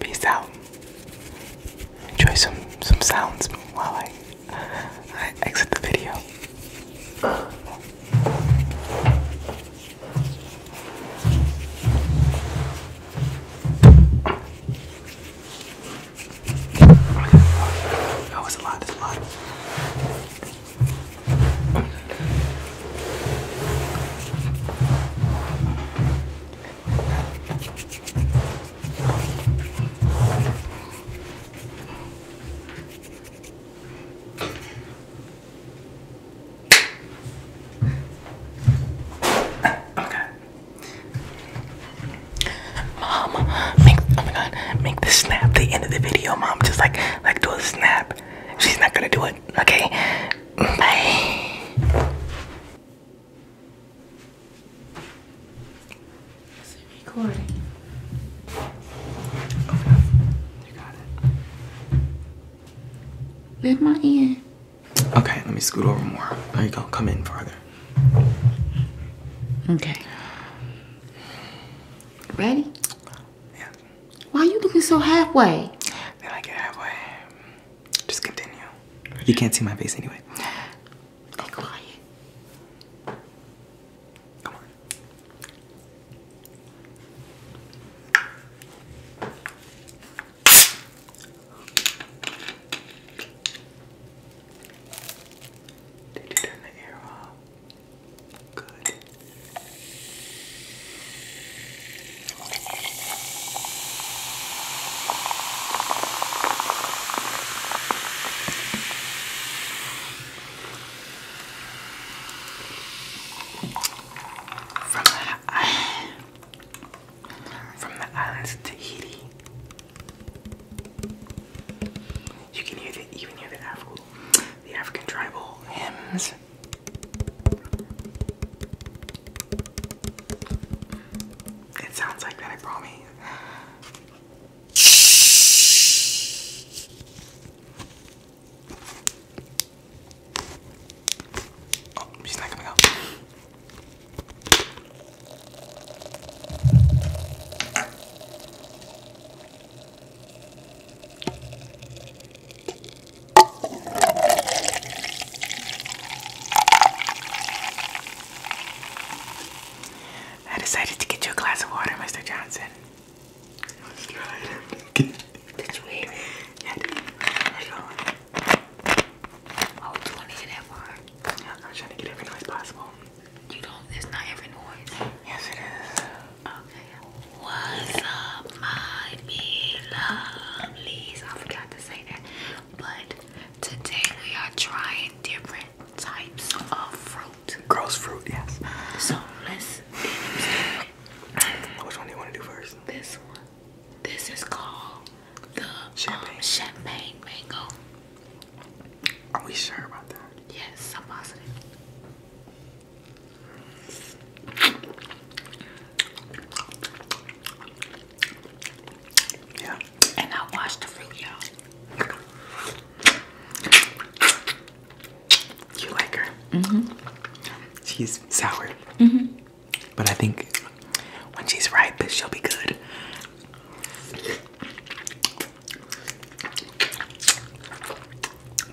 Peace out. Enjoy some some sounds while I, I exit the video. That was a lot, Okay. Mom, make oh my god, make the snap the end of the video, mom. Just like like do a snap. She's not gonna do it, okay? Bye. Is it recording? Okay. You got it. With my ear. Okay, let me scoot over more. There you go. Come in farther. Okay. Ready? Yeah. Why are you looking so halfway? Then I get halfway. Just continue. You can't see my face anyway. Be quiet. Come on. Did you turn the air off? Good. From the, from the islands of Tahiti, you can hear the, even hear the Afro, the African tribal hymns it sounds like that, I promise. Oh, she's not coming out. I decided to get you a glass of water, Mr. Johnson. Let's try it. Oh, do you want to hear that bar? I'm trying to get every noise possible. You don't, it's not every noise. Yes, it is. What's up, my big lovelies? I forgot to say that. But today we are trying different types of fruit. Gross fruit, yes. So let's Which one do you want to do first? This one. This is called the champagne, um, champagne mango. Are we sure about that? Yes, I'm positive. Yeah. And I washed the fruit, you like her? hmm She's sour. hmm But I think when she's ripe, she'll be good.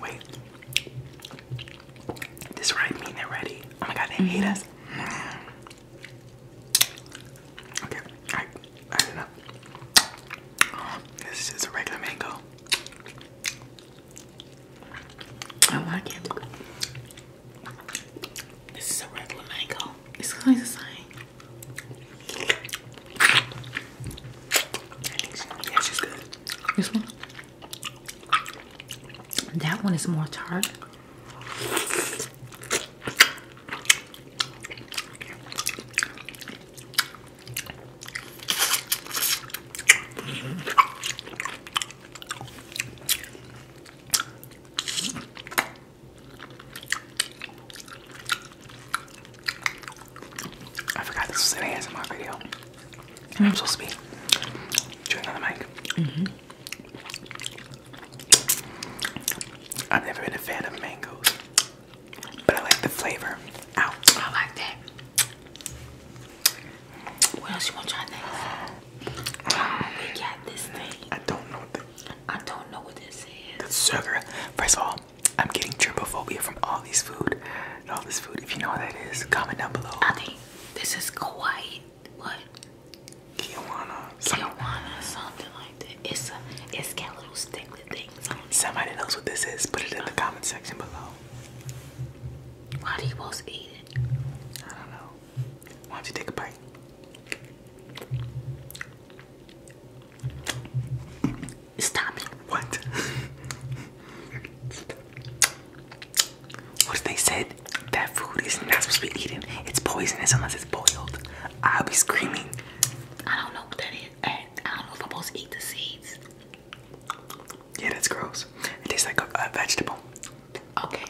Wait. This right mean it ready. Oh my god, they mm-hmm. mm -hmm. hate us. Okay, I I don't know. Oh, this is just a regular mango. I like it. This is a regular mango. It's kind of the same. I think she, yeah, she's good. This one? That one is more tart. Mm -hmm. I forgot this was an video. I'm supposed to be doing on the mic. Mm-hmm. I've never been a fan of mangoes, but I like the flavor. I like that. What else you want to try next? we got this thing. I don't know what I don't know what this is. The sugar. First of all, I'm getting trypophobia from all these food all this food. If you know what that is, comment down below. I think this is Kuwait. What? Kiwana. Kiwana, something like that. It's a, it's got little stinky things on it. Somebody knows what this is. Put it in the comment section below. Why do you supposed to eat I don't know. Why don't you take a bite? Stop it. What? What if they said that food is not supposed to be eaten? It's poisonous unless it's boiled. I'll be screaming. I don't know what that is. I don't know if I'm supposed to eat the seeds. Yeah, that's gross. It tastes like a, vegetable. Okay.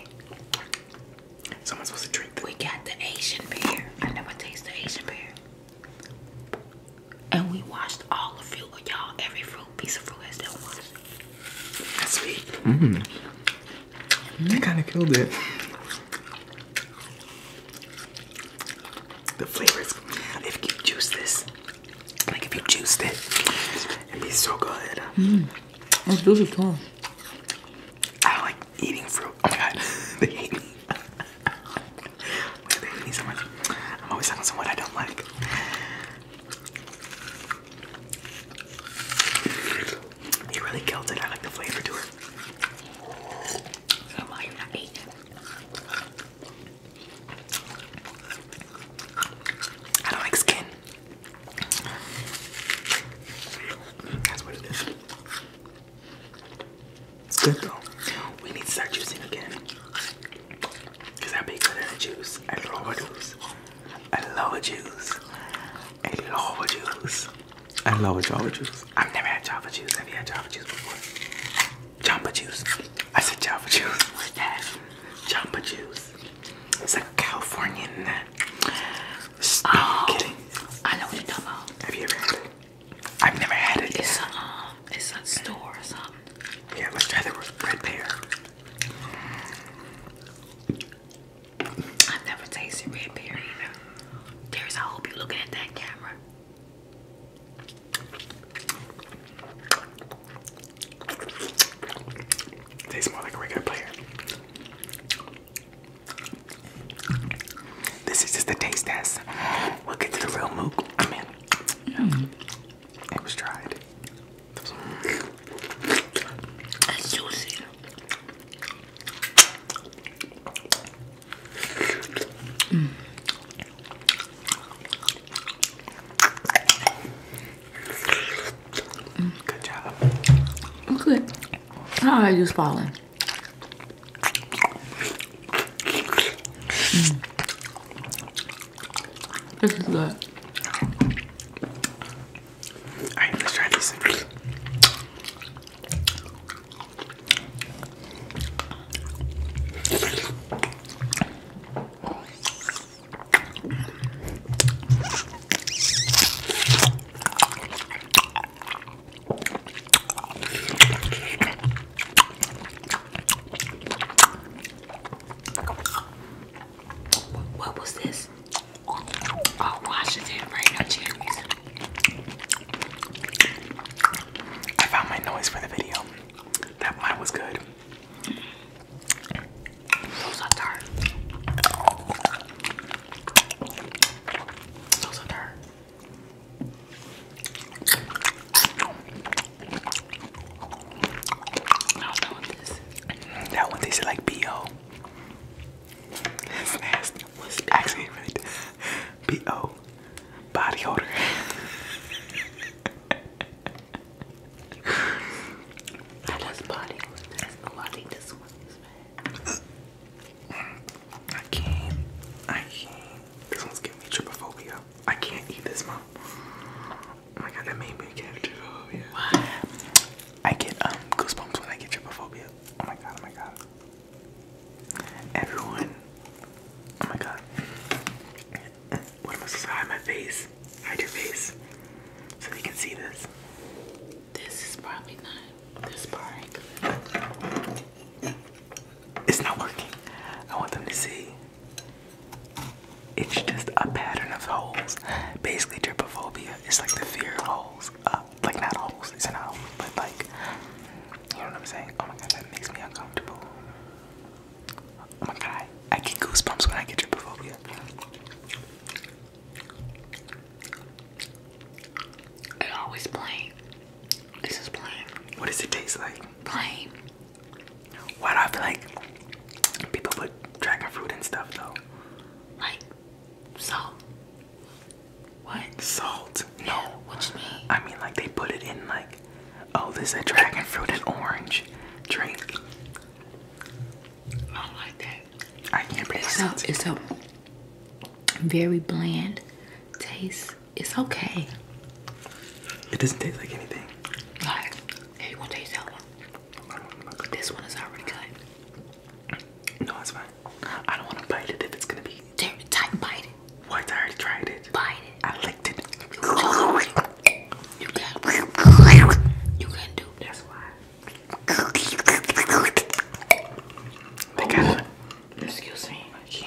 Someone's supposed to drink We got the Asian pear. I never taste the Asian pear and we washed all of fruit y'all. Every fruit, piece of fruit as there was. That's sweet. Mm. Mm. That kind of killed it. The flavors. If you juice this, like if you juiced it, it'd be so good. Mmm, Let's do I like eating fruit. Oh my god, they hate me. I'm always talking someone I don't like. It really killed it. I like the flavor to it. am I ate I don't like skin. That's what it is. It's good though. We need to start juicing again. Cause I be good at a juice. I love juice. I love a juice. I love a juice. I love Java juice. I've never had Java juice. Have you had Java juice before? Jamba juice. I said Java juice. What's that? juice. It's a Californian. oh, kidding. I know what you're talking about. Have you ever I've never had it. It's uh, it's a store or something. Yeah, let's try the red pear. I've never tasted red pear either. There's I hope you're looking at that camera. tastes more like a regular pear. This is just the taste test. We'll get to the real mooc. Come mean, mm. It was tried. That's juicy. Mm. Good job. Okay. at how are you falling? Mm. This is good. Alright, let try this. What was this? Oh, Washington, right now, I found my noise for the video. That mine was good. Those are tart. Those that one tasted like B.O. That's nasty. What's B.O.? Actually, right. B.O. Body odor. I just body odor. Oh, I think this one I can't. I can't. This one's giving me trypophobia. I can't eat this, mom. Oh my god, that made me get What? I get um, goosebumps when I get trypophobia. Oh my god, oh my god. Everyone, oh my god. What am I supposed to hide my face? Hide your face, so they can see this. This is probably not this part it's not working. I want them to see. It's just a pattern of holes. Basically, tripophobia. It's like the fear of holes. Uh, like not holes, it's not holes, but like, you know what I'm saying? Oh my god, that makes me uncomfortable. Oh my god, I get goosebumps when I get tripophobia. It's always plain. This is plain. What does it taste like? Plain. Why do I feel like people put dragon fruit and stuff though? Like salt. What? Salt? No. Yeah, what you mean? I mean like they put it in like oh this a dragon fruit and orange drink. I don't like that. I can't pronounce it's a, It's a very bland taste. It's okay. It doesn't taste like anything. Like, hey, that one? this one is already good. No, it's fine. I don't want to bite it if it's gonna be. T bite it. What? I already tried it. Bite it. I licked it. You can't. You can do. That's why. They got. Excuse me. Yeah.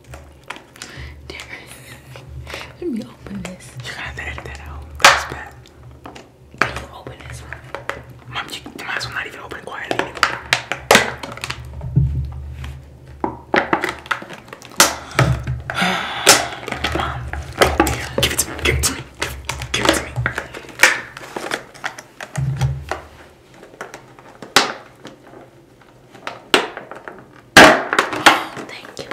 Let me open this. You gotta edit that out. That's bad. open this Mom, you, might as well not even open quietly Mom, give it to me. Give it to me. give it to me. Thank you.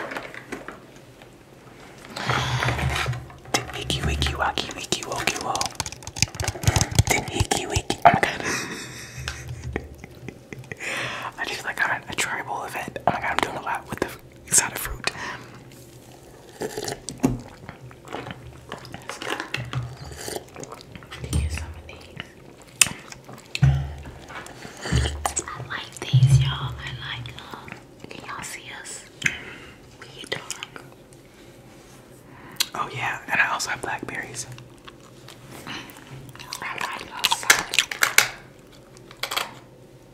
Wiki wiki waki wiki woki wo. Wiki wiki. Oh my god. I just like on a tribal event. Oh my god, I'm doing a lot with the exotic fruit. Let's get some of these. I like these, y'all. I like um, Can y'all see us? Oh yeah, and I also have blackberries.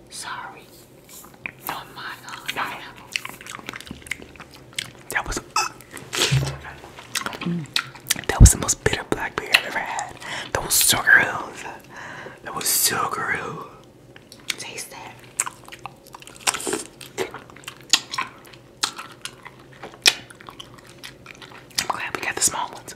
Sorry. Oh my god. That was. Mm. That was the most bitter blackberry I've ever had. That was so gross. That was so gross. Taste that. I'm glad we got the small ones.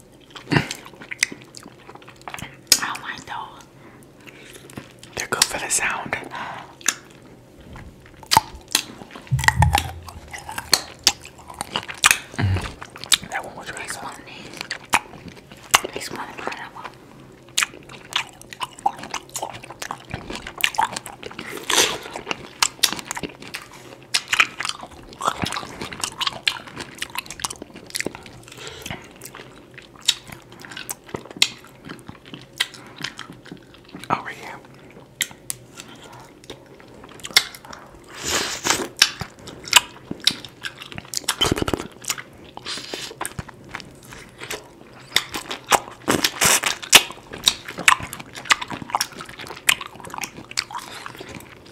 I don't like those. They're good for the sound. Mm. That one was really this good. One is, one over oh, here.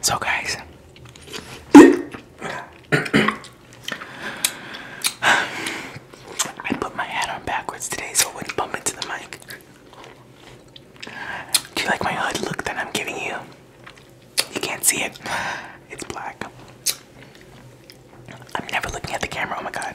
So, guys, I put my hat on backwards today so it wouldn't bump into the mic. Do you like my hood look that I'm giving you? You can't see it, it's black. I'm never looking at the camera, oh my god.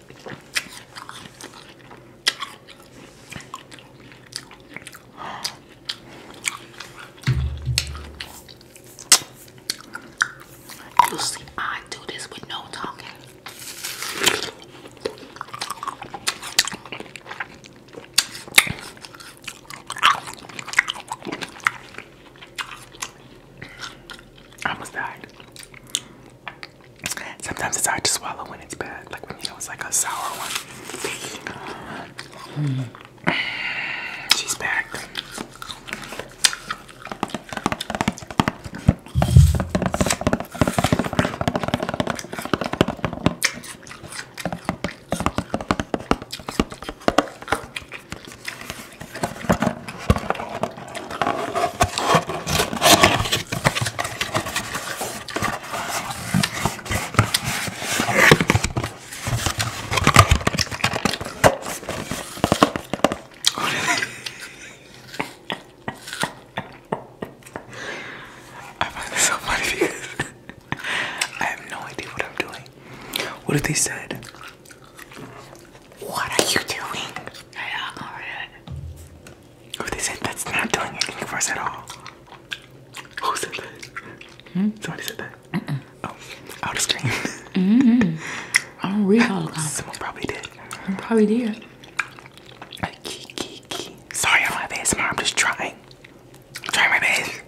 You see, I do this with no talking. I almost died. Sometimes it's hard to swallow when it's bad, like when you know it's like a sour one. She's back. I find this so funny because I have no idea what I'm doing. What if they said what are you doing? Yeah, uh, Who oh, oh, they said that's not doing anything for us at all? Who said that? Hmm? Somebody said that. Oh, out of screen. mm mm-hmm. I don't read all Someone probably did. I probably did. Sorry, I'm my I'm just trying. I'm trying my best.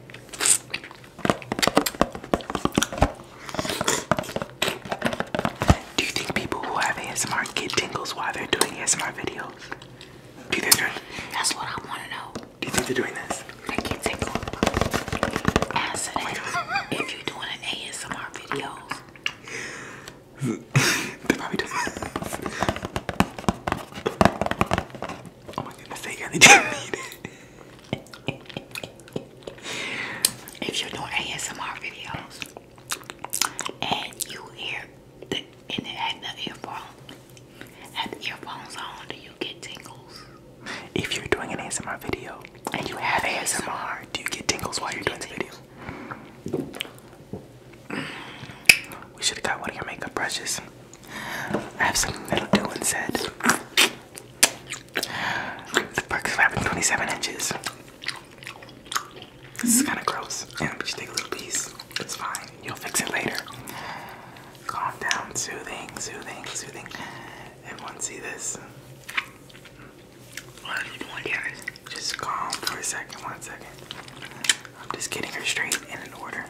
Do you think people who have ASMR get tingles while they're doing ASMR videos? Do you think they That's what I wanna know. Do you think they're doing this? They get tingled. Oh Answer if you're doing an ASMR videos. they probably doing this. Oh my goodness, they really not need it. If you're doing ASMR videos, and you hear the, and the earphone, had the earphones on, do you get tingles? If you're doing an ASMR video and you have ASMR, ASMR do you get tingles while you're doing the video? We should have got one of your makeup brushes. I have something that'll do instead. The perks of having 27 inches. This is kind of gross. Yeah, but you take a little piece. It's fine. You'll fix it later. Calm down. Soothing, soothing, soothing. Everyone see this? What are you doing, Just calm for a second. One second. I'm just getting her straight in an order.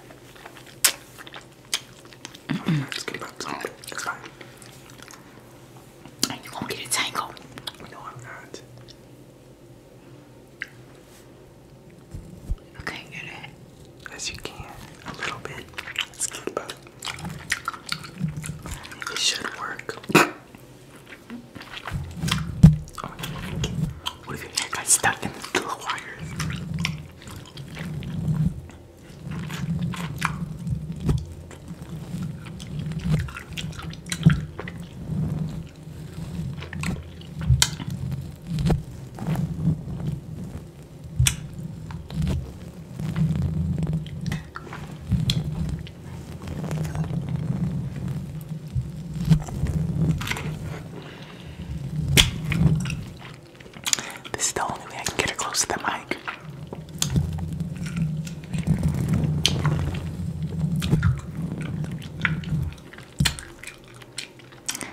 It's good. It's fine and you gonna get a tangle. No, I'm not. You get it. Yes, you can. A little bit. Let's keep up. It should work. What if your hair got stuck in the little wires? This is the only way I can get her close to the mic.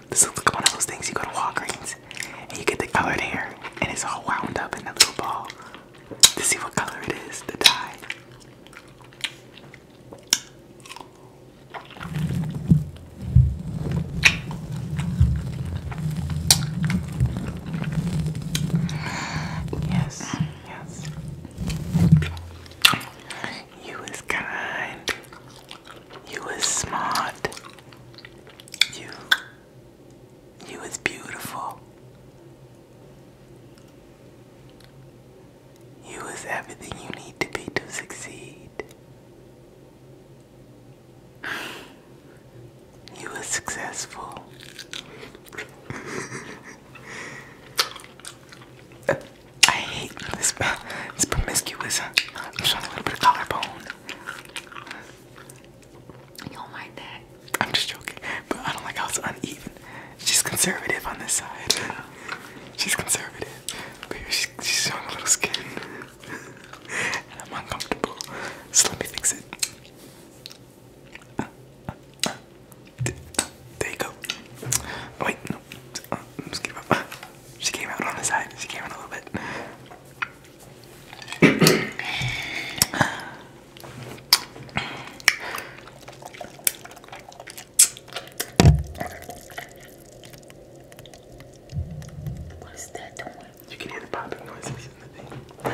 This looks one of those things you go to Walgreens and you get the colored hair and it's all wound up in a little ball to see what color it is, the dye. Yes, Yes, You was kind. You was smart. You you was beautiful. You was everything you need to be to succeed. You were successful. I hate this. Uh, it's promiscuous. I'm showing a little bit of collarbone. don't like that? I'm just joking, but I don't like how it's uneven. She's conservative on this side. She's conservative, but she's, she's showing a little skin, and I'm uncomfortable. So let me fix it. There you go. Oh, wait, no. Uh, just give up. She came out on the side. She came out a little bit. What is that doing? You can hear the popping noises in the thing.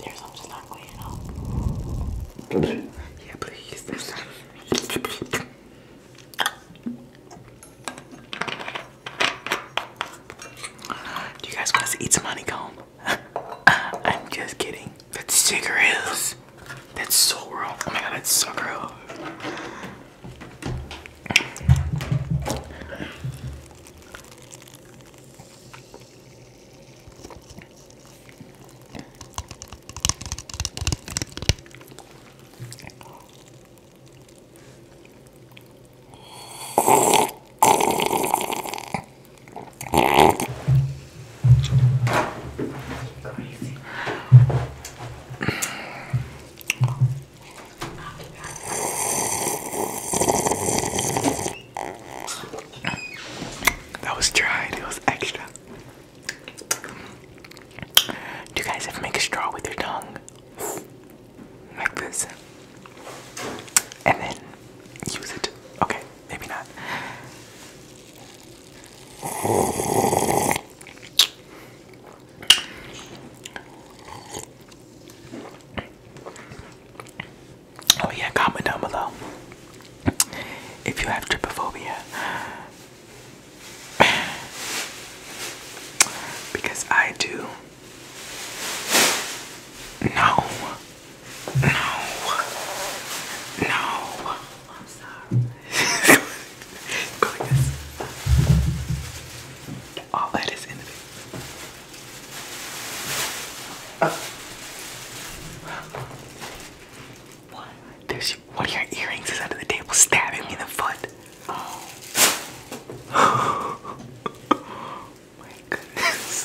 There's something not going on. yeah, please. Do you guys want us to eat some honeycomb? I'm just kidding. That's sugar is. That's so real. Oh my god, that's so real. That was dried, it was extra. Do you guys ever make a straw with your tongue? Like this. And then use it. Okay, maybe not. Oh yeah, comment down below if you have trypophobia. because I do. No. No. No. I'm sorry. All that is in the uh. There's one of your earrings is under the table stabbing me in the foot. Oh. my goodness.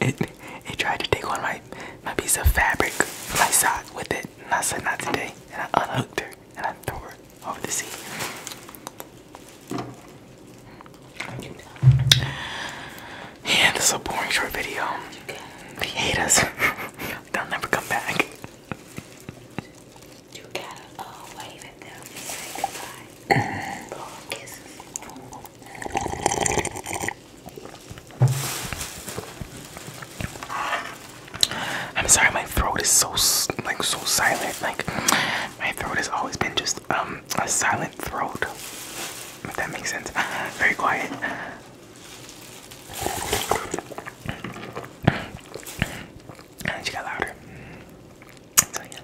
it it tried to take on my my piece of fabric, my sock with it, and I said not today. And I unhooked her and I threw her over the seat. And this is a boring short video. They hate us. They'll never come back. I'm sorry, my throat is so like so silent. Like my throat has always been just um a silent throat. If that makes sense. Very quiet. And she got louder. So yeah.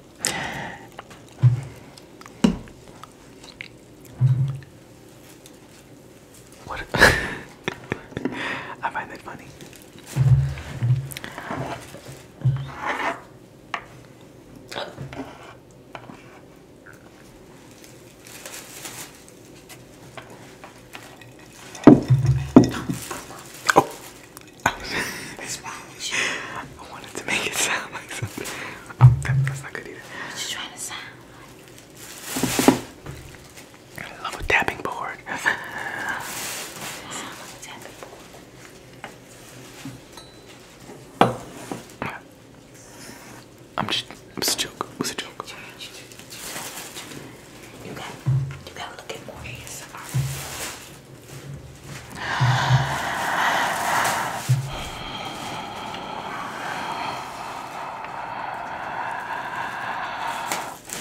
What? I find that funny. I wanted to make it sound like something. Oh, that's not good either. What you trying to sound like? I love a tapping board. I am just, it was a joke. It a joke. You gotta, you gotta look at more ASMR. It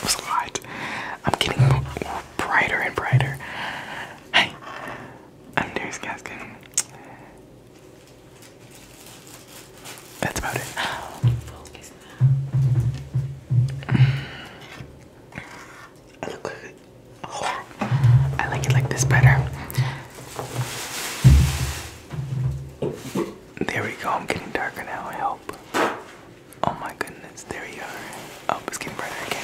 was I'm getting brighter and brighter. Hey, I'm Darius Gaskin. That's about it. I look good. I like it like this better. There we go. I'm getting darker now. I hope. Oh my goodness. There you are. Oh, it's getting brighter again.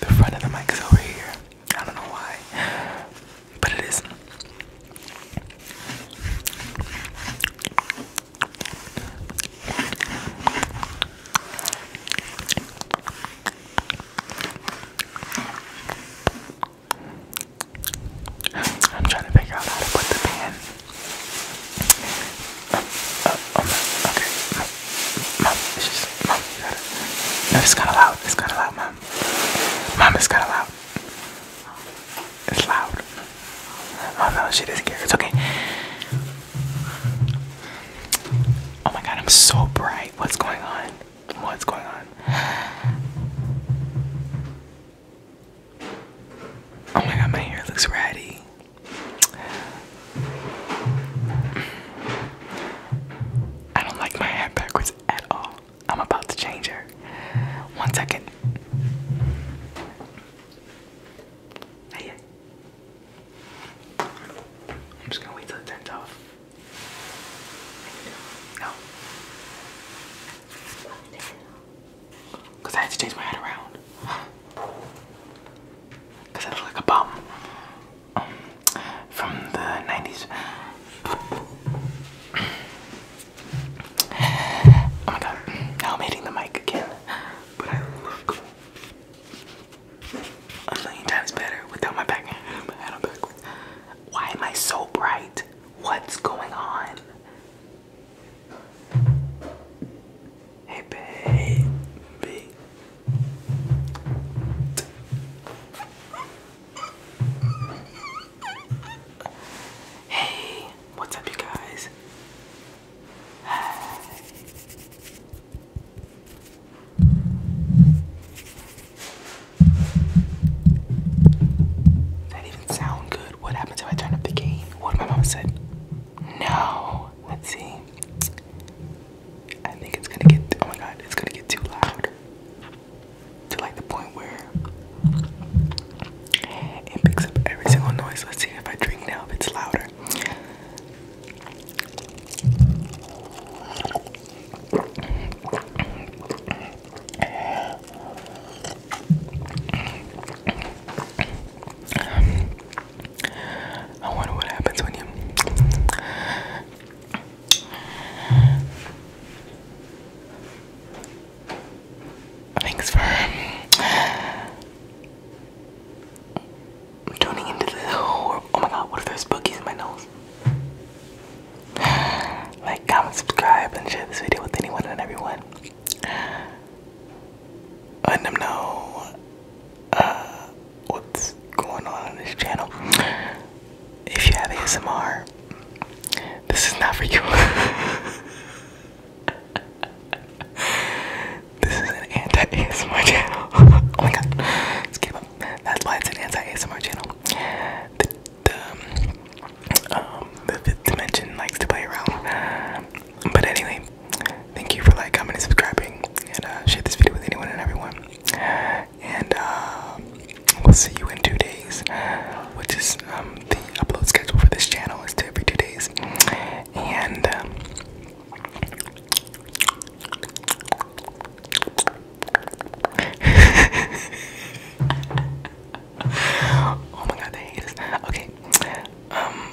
The front of the mic is over here. I don't know why, but it is. I'm trying to figure out how to put the pan. okay, no, it's kind of loud. It's kind of loud, mom. Mom, it's kind of loud. It's loud. Oh no, she doesn't care. It's okay. Oh my god, I'm so bright. What's going on? What's going on? Oh my god, my hair looks ratty. I don't like my head backwards at all. I'm about to change her. One second. Hey. I'm just gonna wait till it turns off. Cause I had to change my head around. Cause I look like a bum from the 90s. oh my god, I'm hitting the mic again. But I look a million times better without my back. My head on backwards. Why am I so bright? What's going on? Hey, baby. Hey, what's up, you guys? Hi. That even sound good. What happens if I turn up the game? What my mom said? No. Let's see. I think it's gonna get oh my god, it's gonna get too loud to like the point where it picks up every single noise. Let's see if I drink now if it's louder. I wonder what happens when you Thanks for um, tuning into this whole. Oh my god, what if there's boogies in my nose? Like, comment, subscribe, and share this video with anyone and everyone. Let them know uh, what's going on on this channel. If you have ASMR, this is not for you. this is an anti-ASMR channel. oh my god, let's give up. That's why it's an anti-ASMR channel. The, the, um, um, the fifth dimension likes to play around. But anyway, thank you for like, commenting, subscribing, and uh, share this video with anyone and everyone and uh, we'll see you in two days. Which is um, the upload schedule for this channel is to every two days, and um, oh my god, they hate us. Okay, um,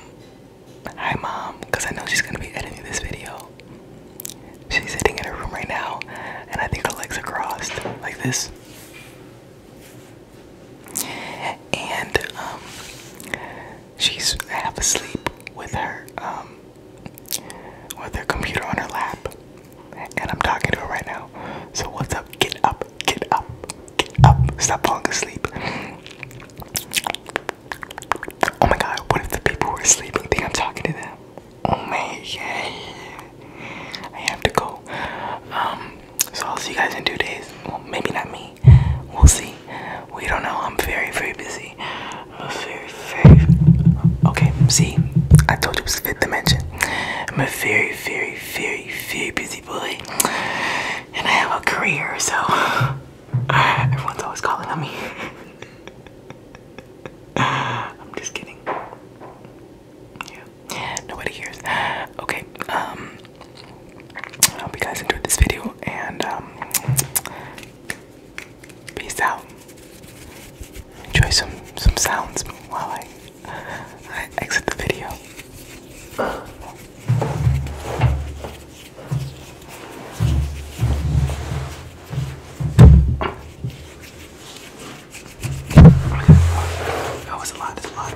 hi mom, because I know she's gonna be editing this video. She's sitting in her room right now, and I think her legs are crossed like this. And um, she's half asleep with her um, with her computer on her lap, and I'm talking to her right now. So what's up? Get up! Get up! Get up! Stop falling asleep. Oh my god, what if the people were sleeping think I'm talking to them? Oh my God! I have to go. Um, so I'll see you guys in two days. Well, maybe not me. We'll see. We don't know. I'm very, very busy. very, very. Okay, see, I told you it was the fifth dimension. I'm a very, very, very, very busy boy, and I have a career, so. Everyone's always calling on me. I'm just kidding. Yeah, nobody hears. Okay, um, I hope you guys enjoyed this video, and um, peace out. Enjoy some some sounds while I I exit the video. That was a lot, that's a lot.